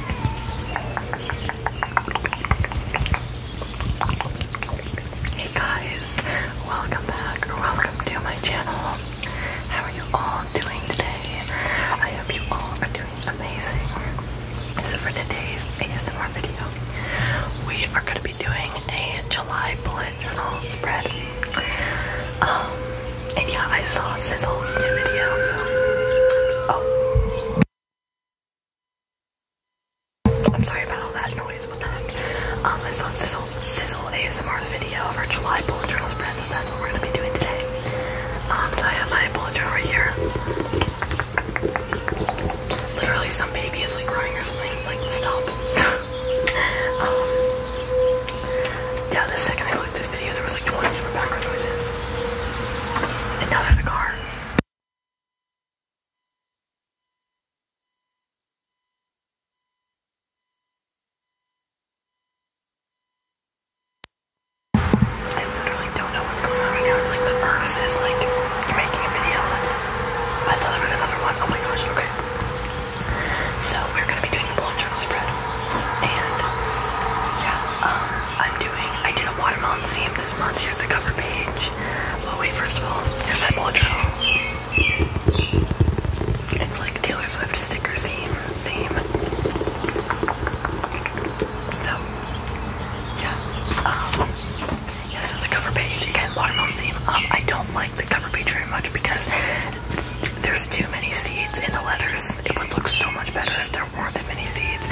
Hey guys, welcome back welcome to my channel. How are you all doing today? I hope you all are doing amazing. So for today's ASMR video, we are going to be doing a July bullet journal spread. Um, and yeah, I saw Sizzle's new video, so. Oh. I'm sorry about all that noise, Um, I saw Sizzle's Sizzle ASMR video of our July bullet journal spread, so that's what we're gonna be doing today. Um, so I have my bullet journal right here. Literally, some baby is like crying or something, like, stop. um, yeah, the second I click this there was like 20 different background noises. And now there's a car. I literally don't know what's going on right now. It's like the earth says like making a video. I thought there was another one. Oh my gosh, okay. So we're gonna be doing a bullet journal spread. And yeah, um, I'm doing I did a watermelon theme this month. Here's the cover page. Well wait, first of all, here's my bullet journal. It's like Taylor Swift sticker theme theme. So yeah. Um yeah, so the cover page, again, watermelon theme. Um, I don't like the cover page very much because there's too many seeds in the letters. It would look so much better if there weren't as many seeds,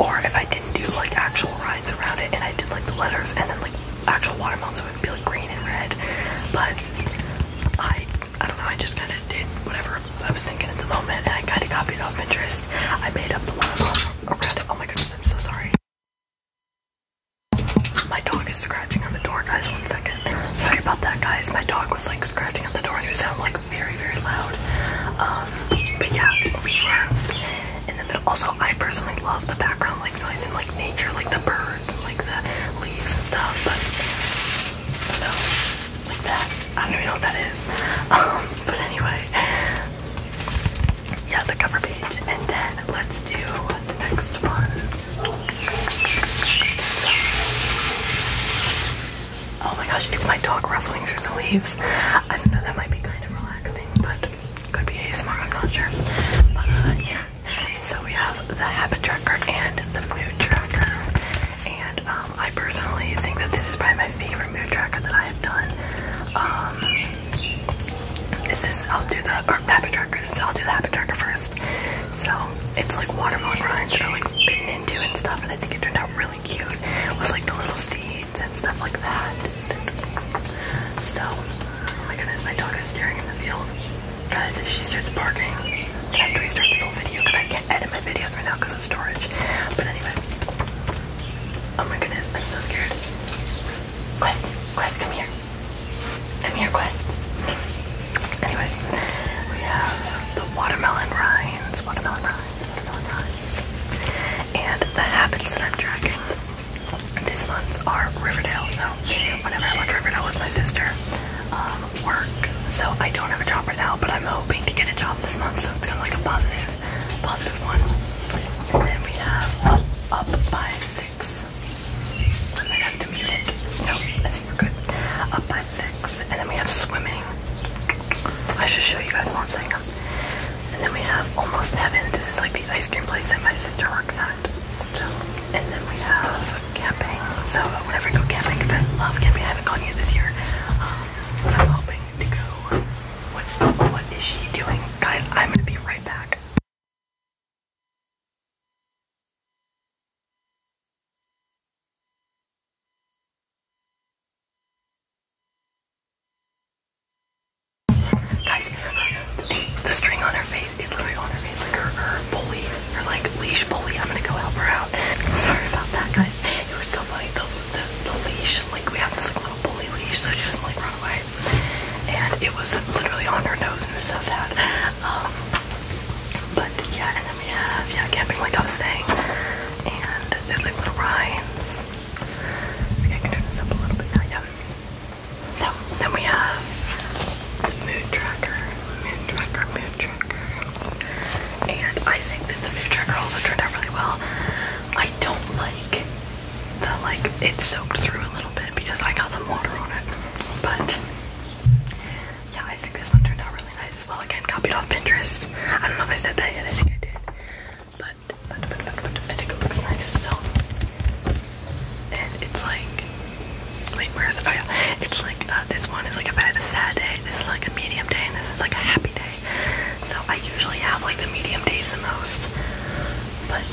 or if I didn't do like actual rides around it and I did like the letters and then like actual watermelons, so it would be like green and red. But I, I don't know. I just kind of did whatever I was thinking at the moment, and I kind of copied off Pinterest. I made up the watermelon around it. Oh my goodness, I'm so sorry. My dog is scratching on the door, guys. One second. Sorry about that, guys. My dog was like scratching at the door and it was sounded like very, very loud. Um, but yeah, we were And then middle. Also, I personally love the background like noise and like nature, like the birds like the leaves and stuff. But no, like that. I don't even know what that is. Um, but anyway, yeah, the cover page, and then let's do the next one. Oh my gosh, it's my dog ruffling through the leaves. I don't know, that might be kind of relaxing, but could be ASMR, I'm not sure. But uh, yeah, so we have the habit tracker and the mood tracker. And um, I personally think that this is probably my favorite mood tracker that I have done. Um, is this, I'll do the habit tracker so I'll do the Happy first. So it's like watermelon rinds that are like bitten into and stuff, and I think it turned out really cute It was like the little seeds and stuff like that. So, oh my goodness, my dog is staring in the field. Guys, if she starts barking, I have to restart the whole video because I can't edit my videos right now because of storage. But anyway, oh my goodness, I'm so scared. Quest, Quest, come here the Mirror Quest. Anyway, we have the Watermelon Rinds, Watermelon Rinds, Watermelon Rinds. And the habits that I'm tracking these months are Riverdale. So whenever I went to Riverdale with my sister, um, work. So I don't have a job right now, but I'm hoping to get a job this month. So it's kind of like a positive, positive one. And then we have Up, up by Six I might have to mute it. No, I think we're good. Up by six, and then we have swimming. I should show you guys what I'm saying. And then we have Almost Heaven. This is like the ice cream place that my sister works at. and then we have camping. So I would go camping because I love camping. I haven't gone yet this year. Um, but I'm hoping to go. What, what is she doing? Guys, I'm going to be right back. Guys, the string on her face is literally on her face, like her, her bully, her like leash bully. I'm gonna go help her out. Sorry about that, guys. It was so funny. The, the, the leash, like we have this like little bully leash so she doesn't like run away. And it was literally on her nose and it was so sad. Um, but yeah, and then we have yeah camping like I was saying, and there's like little rides. I think I can turn this up a little bit now. Yeah. So then we have the mood tracker, mood tracker, mood tracker, and I think that the mood tracker also turned out really well. I don't like the like it soaked through a little bit because I got some water on it. But yeah, I think this one turned out really nice as well. Again, copied off Pinterest. I don't know if I said that yet. I think I did. But but but but, but I think it looks nice still. And it's like wait, where is it? Oh yeah, it's like uh, this one is like if I a sad day. This is like a medium day, and this is like a happy day. So I usually have like the medium days the most. But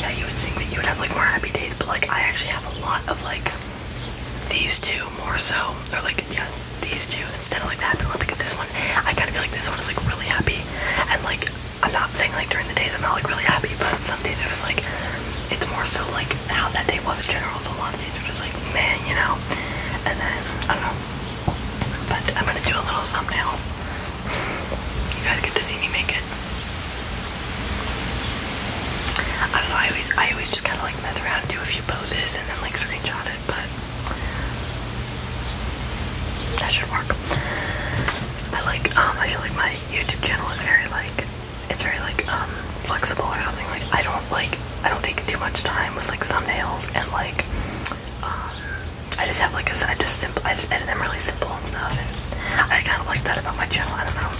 yeah, you would think that you would have like more happy days, but like I actually have a lot of like these two more so. Or like yeah, these two instead of like the happy one because this one I kinda feel like this one is like really happy and like I'm not saying like during the days I'm not like really happy, but some days it was like it's more so like how that day was in general. So a lot of days are just like man, you know. And then I don't know. But I'm gonna do a little thumbnail. You guys get to see me make it. I don't know, I always I always just kinda like mess around, do a few poses and then like screenshot it, but that should work. I like um I feel like my YouTube channel is very like it's very like um flexible or something like I don't like I don't take too much time with like thumbnails and like um I just have like I just simple, I just edit them really simple and stuff, and I kind of like that about my channel. I don't know,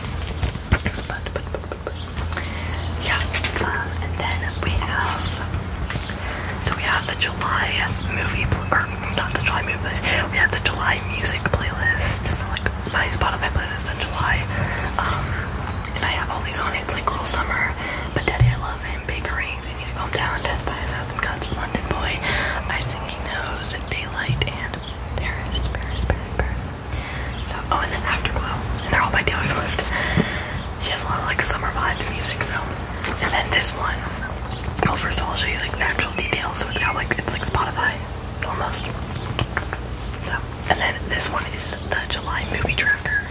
yeah. Um, and then we have, so we have the July movie, or not the July movie playlist. We have the July music playlist. So like my Spotify playlist in July, um, and I have all these on it. It's like Girl Summer, but Daddy I Love It time, you need to calm down, death by a thousand cuts, London boy, I think he knows, daylight, and Paris, Paris, Paris, Paris. So, oh, and then Afterglow, and they're all by Taylor Swift. She has a lot of, like, summer vibes music, so. And then this one, first of all, I'll show you, like, the actual details, so it's got, like, it's like Spotify, almost. So, and then this one is the July movie trailer.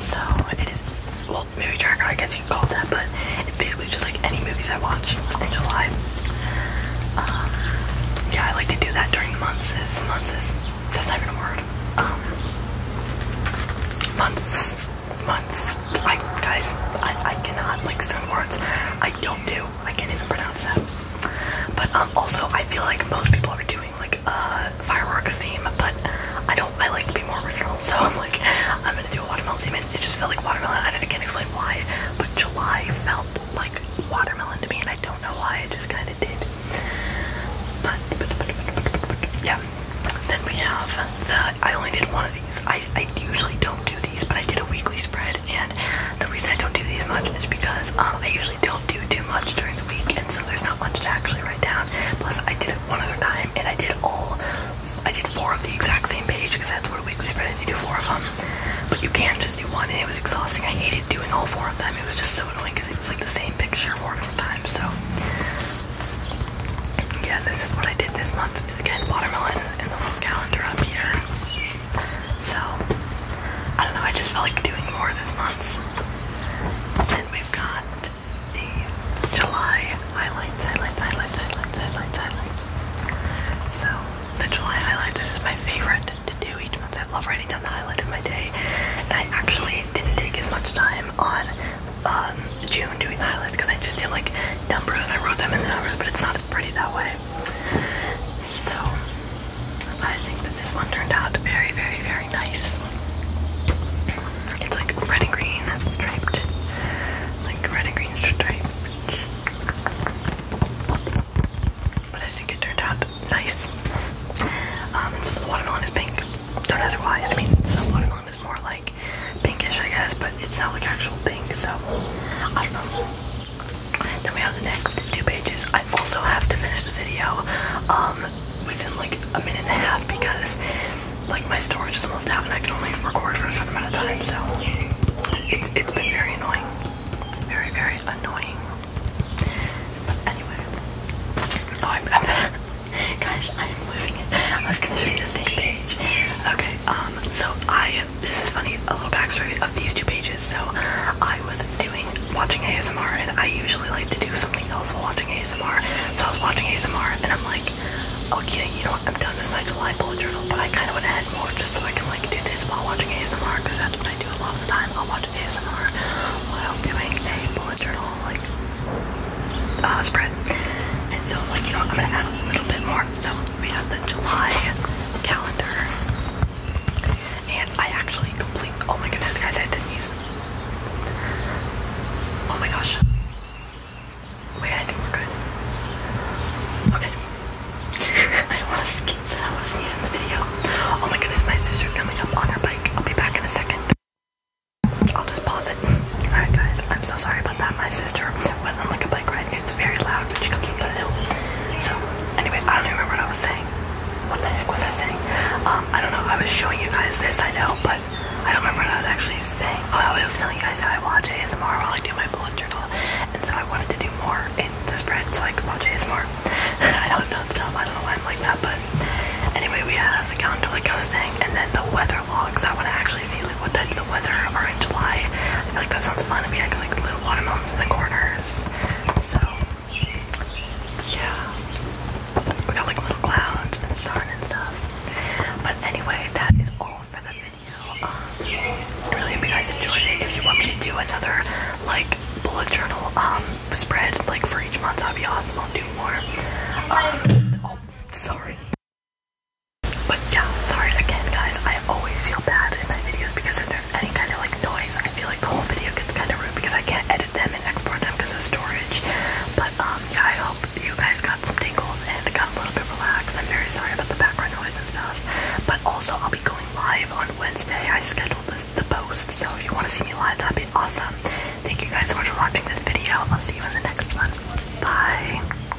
So it is, well, maybe tracker, I guess you can call it that, but it's basically just like any movies I watch in July. Um, yeah, I like to do that during months. Is months is that's not even a word. Um, months, months. I guys, I I cannot like certain words. I don't do. I can't even pronounce that. But um, also I feel like most people are doing like fireworks theme, but I don't. I like to be more original, so I'm like, I'm gonna do a watermelon theme. it just felt like watermelon. I, I can't explain why, but July felt like watermelon to me, and I don't know why. It just kind of did. But, but yeah. Then we have the. I only did one of these. I I usually don't do these, but I did a weekly spread, and the reason I don't do these much is because um, I usually don't do too much during the week, and so there's not much to actually write down. Plus, I did it one other time, and I did all, I did four of the exact same page because that's what weekly spread is. You do four of them, but you can't just do one, and it was exhausting. I hated doing all four of them. It was just so annoying because it was like the same picture four different times. So, yeah, this is what I did this month. Again, watermelon and the little calendar up here. So, I don't know. I just felt like doing more this month. Then we've got the July highlights, highlights, highlights, highlights, highlights, highlights. So the July highlights this is my favorite to do each month. i love writing down the highlight of my day, and I actually didn't take as much time on um, June doing the highlights because I just did like numbers and I wrote them in the numbers, but it's not as pretty that way. So I think that this one turned out very, very, very nice. It's like red and green striped. Like red and green striped. But I think it turned out nice. Um, some of the watermelon is pink. Don't ask why. I mean, some watermelon is more like pinkish, I guess, but it's not like actual pink, so I don't know. Then we have the next two pages. I also have to finish the video um, within like a minute and a half because like my storage is almost out and I can only record for a certain amount of time. So it's it's been very annoying, very very annoying. But anyway, oh, I'm, i guys I am losing it. I was gonna show you the same page. Okay, um, so I am this is funny, a little backstory of these two pages. So I was doing watching ASMR, and I usually like to do something else while watching ASMR. So I was watching ASMR, and I'm like, okay, you know what? I'm done with my July bullet journal, but I kind of want to add more just so I can like do this while watching ASMR because that's what I do a lot of the time. I'll watch ASMR while doing a bullet journal like uh, spread. And so, like, you know, I'm gonna add a little bit more. So we have the July calendar and I actually complete. Oh my goodness, guys, I had to sneeze. Oh my gosh. Wait, oh I think we're good. Okay. I don't want to skip that. I want to sneeze in the video. Oh my goodness, my sister's coming up on her bike. I'll be back in a second. I'll just pause it. Alright, guys, I'm so sorry about that. My sister it's very loud So anyway, I don't even remember what I was saying. What the heck was I saying? Um, I don't know. I was showing you guys this, I know, but I don't remember what I was actually saying. Oh, I was telling you guys how I watch ASMR while I do my bullet journal, and so I wanted to do more in the spread so I could watch ASMR. I know it sounds I don't know why I'm like that, but anyway, we have the calendar like I was saying, and then the weather logs. I want to actually see like what types weather are July. I feel like that sounds fun. I mean, I like little watermelons in the corners. So, yeah. We got like little clouds and sun and stuff. But anyway, that is all for the video. Um, really hope you guys enjoyed it. If you want me to do another like bullet journal um spread like for each month, I'll be awesome. I'll do more. Um, so, oh, sorry. But yeah, sorry again guys, I always feel bad in my videos because if there's any kind of like noise, I feel like the whole video gets kind of rude because I can't edit them and export them because of storage. But um, yeah, I hope you guys got some tingles and got a little bit relaxed. I'm very sorry about the background noise and stuff. But also, I'll be going live on Wednesday. I scheduled this the post, so if you want to see me live, that'd be awesome. Thank you guys so much for watching this video. I'll see you in the next one. Bye.